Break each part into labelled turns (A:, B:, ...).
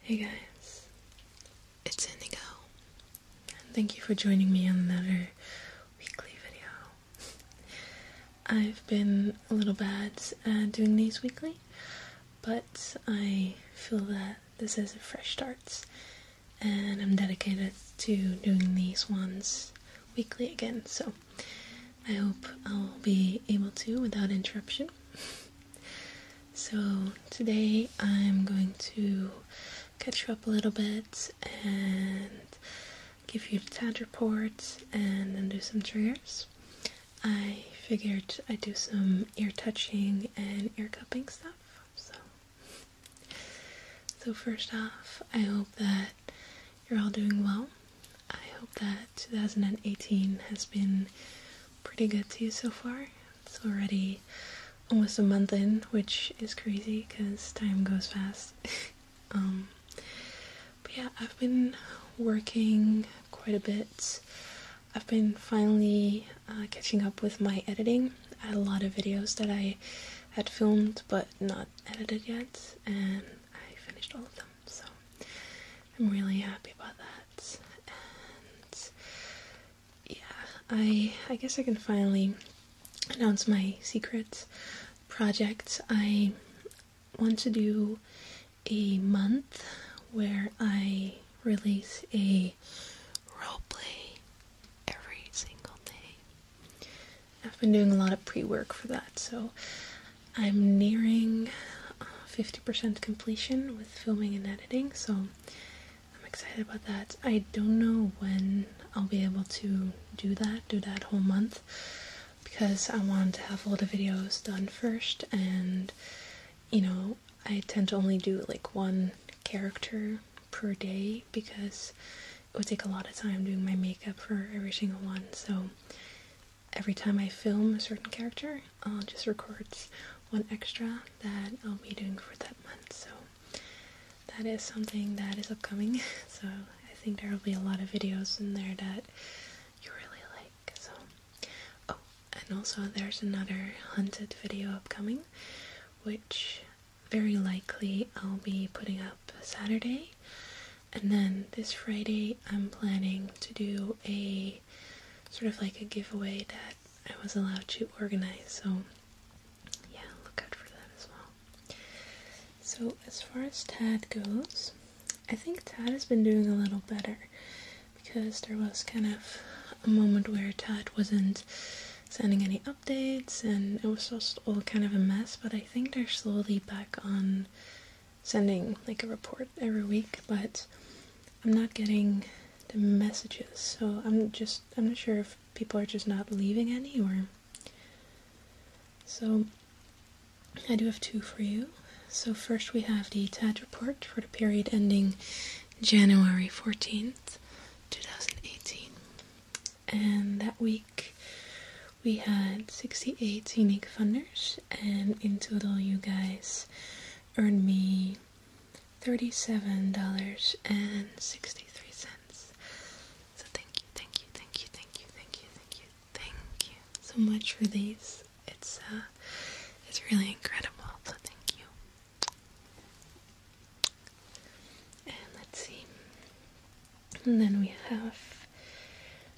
A: Hey guys, it's Indigo, and thank you for joining me on another weekly video. I've been a little bad at uh, doing these weekly, but I feel that this is a fresh start, and I'm dedicated to doing these ones weekly again, so I hope I will be able to without interruption. so, today I'm going to catch you up a little bit and give you the TAD report and then do some triggers. I figured I'd do some ear touching and ear cupping stuff. So, so first off, I hope that you're all doing well. I hope that 2018 has been pretty good to you so far. It's already almost a month in, which is crazy because time goes fast. Um, but yeah, I've been working quite a bit. I've been finally uh, catching up with my editing. I had a lot of videos that I had filmed but not edited yet, and I finished all of them. So I'm really happy about that. And yeah, I I guess I can finally announce my secret project. I want to do a month where I release a roleplay every single day. I've been doing a lot of pre work for that, so I'm nearing 50% uh, completion with filming and editing, so I'm excited about that. I don't know when I'll be able to do that, do that whole month, because I want to have all the videos done first, and you know, I tend to only do like one character per day because it would take a lot of time doing my makeup for every single one, so every time I film a certain character, I'll just record one extra that I'll be doing for that month. So that is something that is upcoming. So I think there will be a lot of videos in there that you really like. So oh, and also there's another hunted video upcoming, which very likely I'll be putting up Saturday. And then this Friday I'm planning to do a sort of like a giveaway that I was allowed to organize. So, yeah, look out for that as well. So, as far as Tad goes, I think Tad has been doing a little better because there was kind of a moment where Tad wasn't sending any updates and it was just all kind of a mess, but I think they're slowly back on sending like a report every week, but I'm not getting the messages. So I'm just I'm not sure if people are just not leaving any or so I do have two for you. So first we have the TAD report for the period ending January 14th, 2018. And that week we had 68 unique funders and in total you guys it's earned me $37.63. So thank you, thank you, thank you, thank you, thank you, thank you, thank you so much for these. It's uh it's really incredible, so thank you. And let's see. And then we have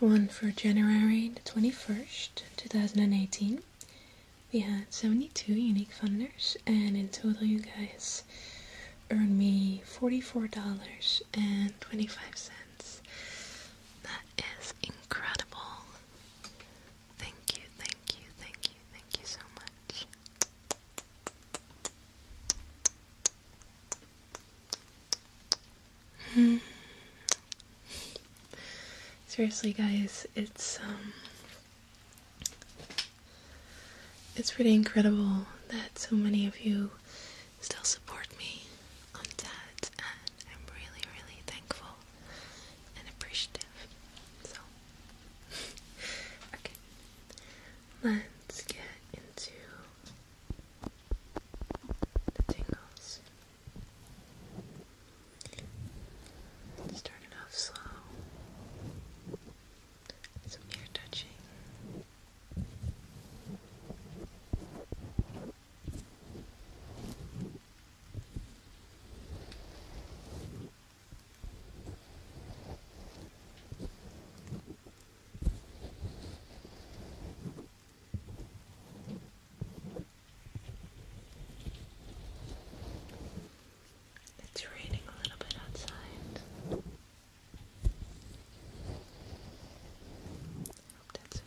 A: one for January the 21st, 2018. We had 72 unique funders, and in total, you guys earned me $44.25. That is incredible. Thank you, thank you, thank you, thank you so much. Hmm. Seriously, guys, it's um, it's pretty incredible that so many of you still support me on that, and I'm really, really thankful and appreciative. So, okay, let's get into the tingles. Starting off slow. Some ear touching. Just it's raining a little bit outside. hope that's okay.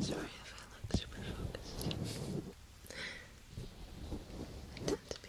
A: Sorry if I look super focused. I tend to be.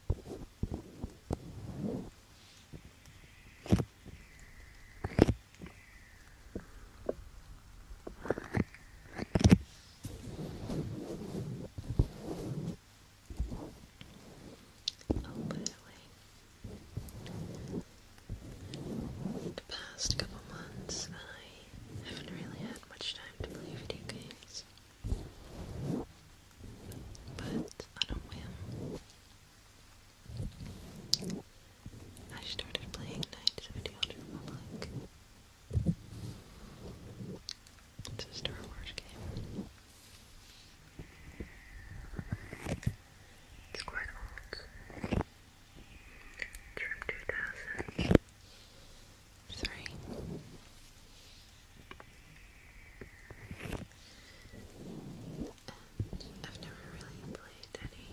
A: The past couple months, I haven't really had much time to play video games but on a whim, I started playing Knights of the Old Republic. It's a Star Wars game. It's quite old. from 2003. I've never really played any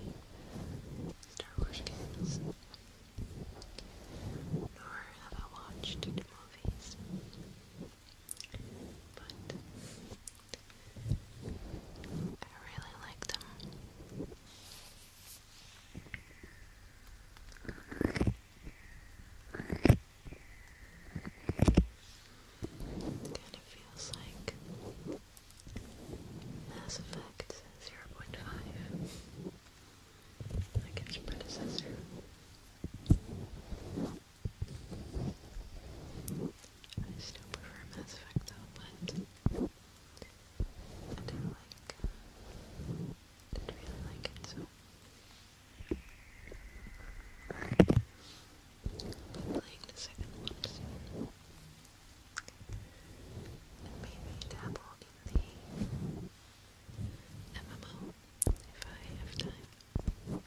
A: Star Wars games, nor have I watched the movies. But I really like them. Kind of feels like Mass Effect 0.5, like its predecessor. I still prefer Mass Effect though, but I do like, uh, did really like it so. I'm playing the second one soon. And maybe dabble in the MMO if I have time.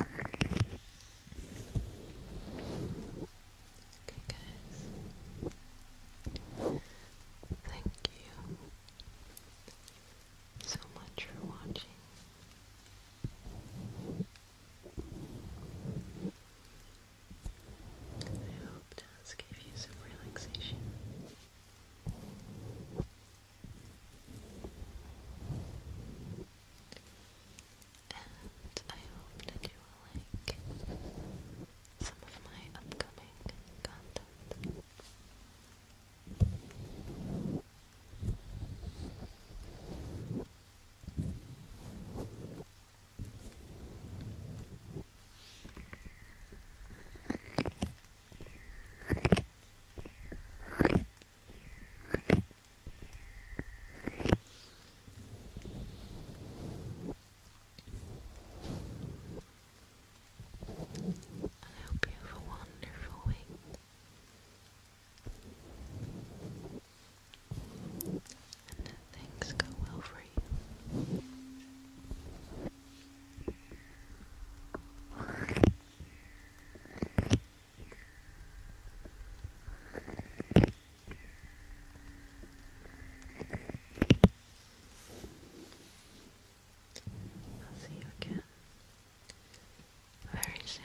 A: Okay, guys. Thank you so much for watching. I hope this gave you some relaxation and I hope that you will like some of my upcoming content. I hope you have a wonderful week and that things go well for you. I'll see you again very soon.